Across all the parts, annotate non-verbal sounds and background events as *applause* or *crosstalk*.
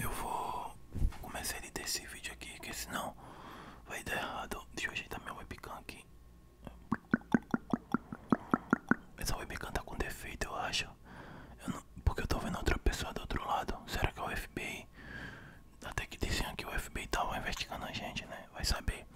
Eu vou começar a editar esse vídeo aqui, porque senão vai dar errado. Deixa eu ajeitar minha webcam aqui. Essa webcam tá com defeito, eu acho. porque eu tô vendo outra pessoa do outro lado. Será que é o FBI? Até que diziam que o FBI tava tá investigando a gente, né? Vai saber.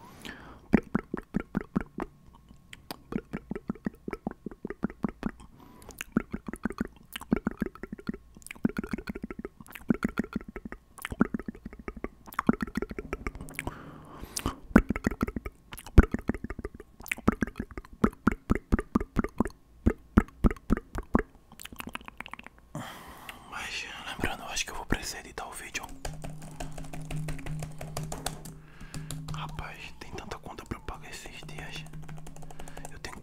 Mas lembrando, acho que eu vou precisar editar o vídeo. Rapaz, tem tanta conta pra pagar esses dias. Eu tenho que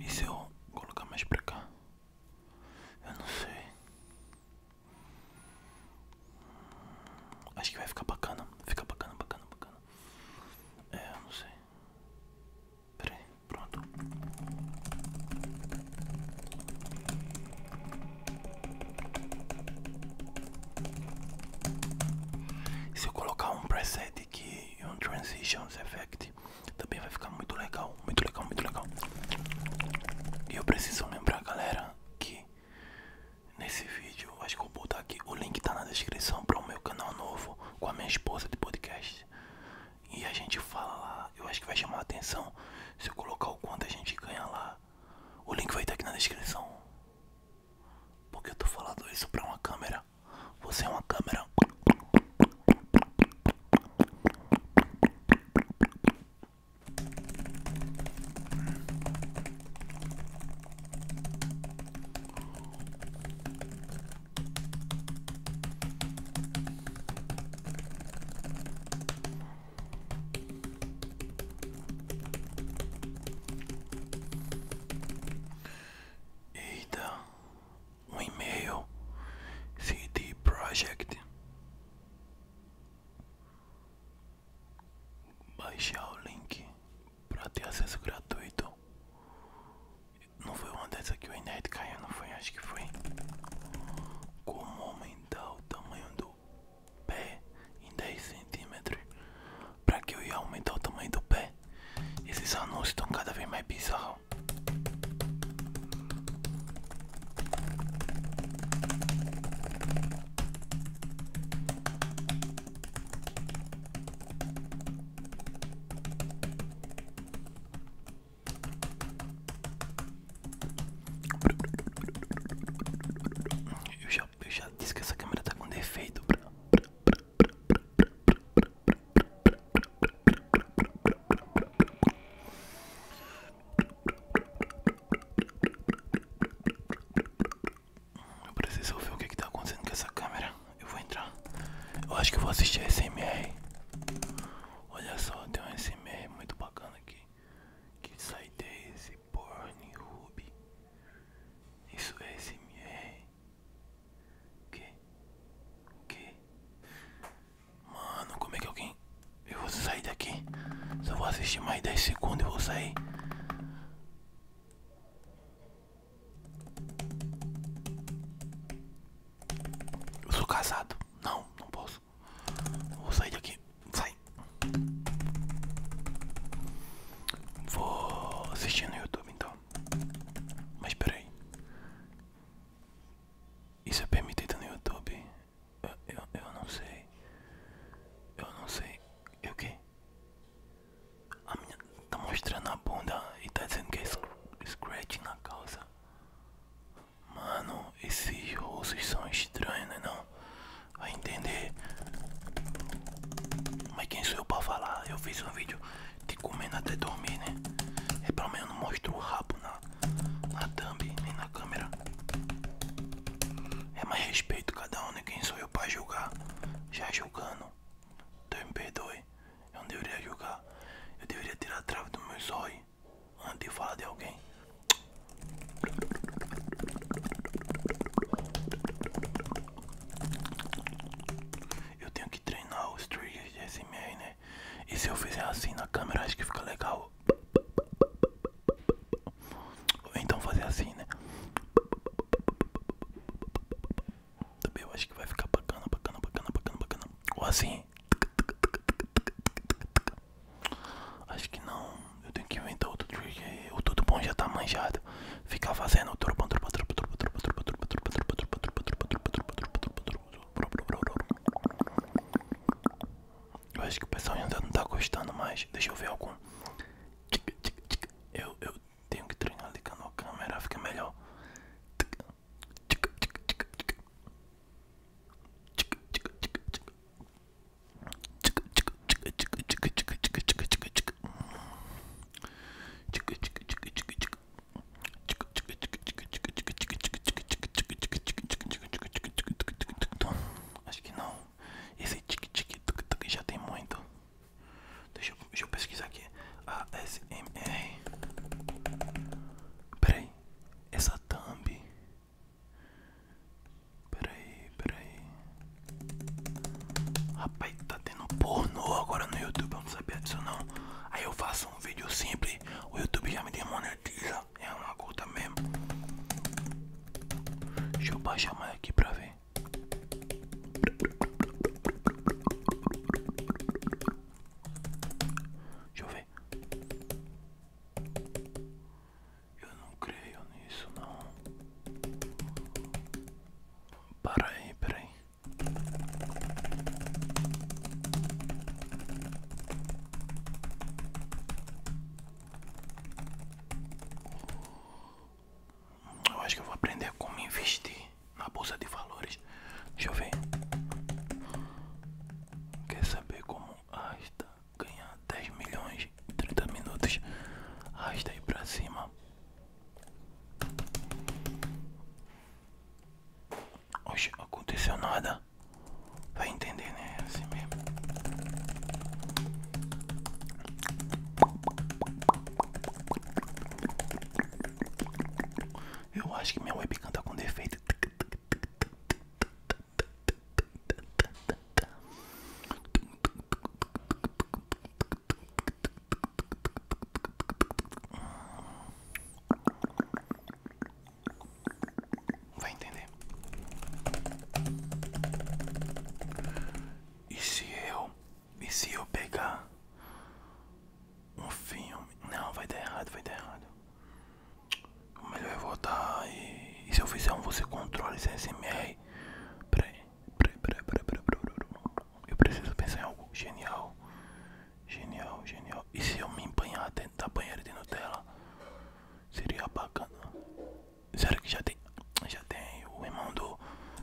E se eu colocar mais pra cá? Eu não sei. Acho que vai ficar bacana. Fica bacana, bacana, bacana. É, eu não sei. Pera aí, pronto. Se eu colocar um preset aqui e um transition effect, também vai ficar muito legal, muito legal, muito legal. E eu preciso lembrar, galera, que nesse vídeo, acho que eu vou botar aqui, o link tá na descrição para o meu canal novo com a minha esposa de podcast. E a gente fala lá, eu acho que vai chamar atenção se eu colocar o quanto a gente ganha lá o link vai estar aqui na descrição. Porque eu tô falando isso pra uma câmera. Você é uma câmera. Eita, um e-mail CD Project. Baixar o link para ter acesso gratuito. Não foi uma dessas que o internet caiu, não foi? Acho que foi. Como homem aumentar o tamanho do pé em 10 centímetros. Pra que eu ia aumentar o tamanho do pé? Esses anúncios estão cada vez mais bizarros. Eu já, eu já disse que essa câmera tá com defeito. Eu preciso ver o que, que tá acontecendo com essa câmera. Eu vou entrar. Eu acho que vou assistir a SMR. Olha só, tem um SMR muito bacana que sai desse porn ruby. Isso é SMR. Que? Que? Mano, como é que alguém. Eu vou sair daqui. Eu vou assistir mais 10 segundos e vou sair. Eu sou casado. Não, não posso. Vou sair daqui. Sai. Vou assistir no YouTube então. Mas peraí. Isso é permitido no YouTube? Eu, eu, não sei. Eu não sei. Eu o que? A minha tá mostrando a bunda e tá dizendo que é scratch na calça. Mano, esses russos são estranhos, né não? Vai entender. Mas quem sou eu pra falar? Eu fiz um vídeo de comendo até dormir, né? É pelo menos não mostro o rabo na, na thumb, nem na câmera. É mais respeito cada um, né? Quem sou eu pra julgar? Já julgando. Então me perdoe. Eu não deveria julgar. Eu deveria tirar a trave do meu olhos Andei falar de alguém. Eu tenho que treinar os triggers de SMR, né? E se eu fizer assim na câmera, acho que fica legal. Ou então fazer assim, né? Também acho que vai ficar bacana, bacana, bacana, bacana, bacana. Ou assim. Acho que não. Eu tenho que inventar outro trick O tudo bom já tá manjado. Fica fazendo o turbo, turbo, turbo, turbo, turbo, turbo, turbo, turbo, turbo, turbo, turbo, turbo, turbo, turbo, Eu acho que o pessoal ainda não tá gostando mais. Deixa eu ver algum. Eu, eu tenho que treinar ligando a câmera, fica melhor. Acho que não. Esse tic tic já tem muito. Deixa eu, deixa eu pesquisar aqui. ASMR. Peraí, essa thumb. Peraí, peraí. Rapaz, tá tendo pornô agora no YouTube, eu não sabia disso não. Aí eu faço um vídeo simples, o YouTube já me demonetiza. É uma gota mesmo. Deixa eu baixar mais aqui pra ver. Deixa eu ver. Eu não creio nisso não. Para aí, para aí. Eu acho que vou aprender como investir na bolsa de valores. Deixa eu ver. Quer saber como Asta ganhar 10 milhões em 30 minutos? Asta aí pra cima. Hoje aconteceu nada. Vai entender, né? É assim mesmo. Eu acho que minha web canta tá com defeito. Vai entender. E se eu, e se eu pegar um filme. Não, vai dar errado, vai dar errado. O melhor é voltar e, se eu fizer um você controla esse SMR. Peraí, peraí, peraí, peraí, peraí, Eu preciso pensar em algo genial. Genial, genial. E se eu me empanhar dentro da banheira de Nutella? Seria bacana. sério que já tem? Já tem. O irmão do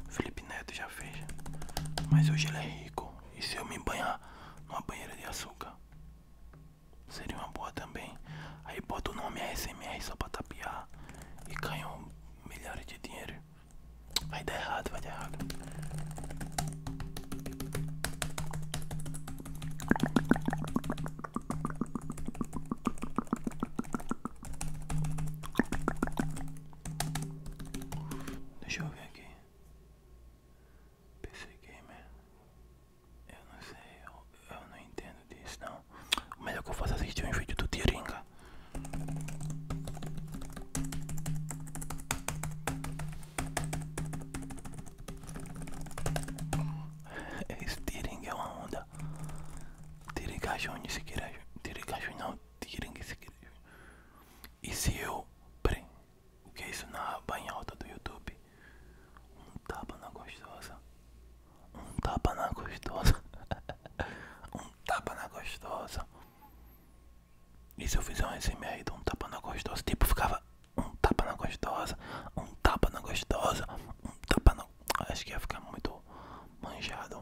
Felipe Neto já fez. Mas hoje ele é rico. E se eu me banhar numa banheira de açúcar? Seria uma boa também. Aí bota o nome ASMR só pra tapiar e ganham milhares de dinheiro. Vai dar errado, vai dar errado. Deixa eu ver aqui. PC Gamer. Eu não sei, eu, eu não entendo disso não. O melhor que eu faço é assistir um vídeo do Tiringa. *laughs* Esse Tiringa é uma onda. Tiringa Júnior, se queira. Tiringa Júnior não, Tiringa se e se eu. Peraí, o que é isso na aba do YouTube? Um tapa na gostosa. Um tapa na gostosa. *laughs* um tapa na gostosa. E se eu fizer um SMR de um tapa na gostosa? Tipo, ficava um tapa na gostosa, um tapa na gostosa, um tapa na. Acho que ia ficar muito manjado.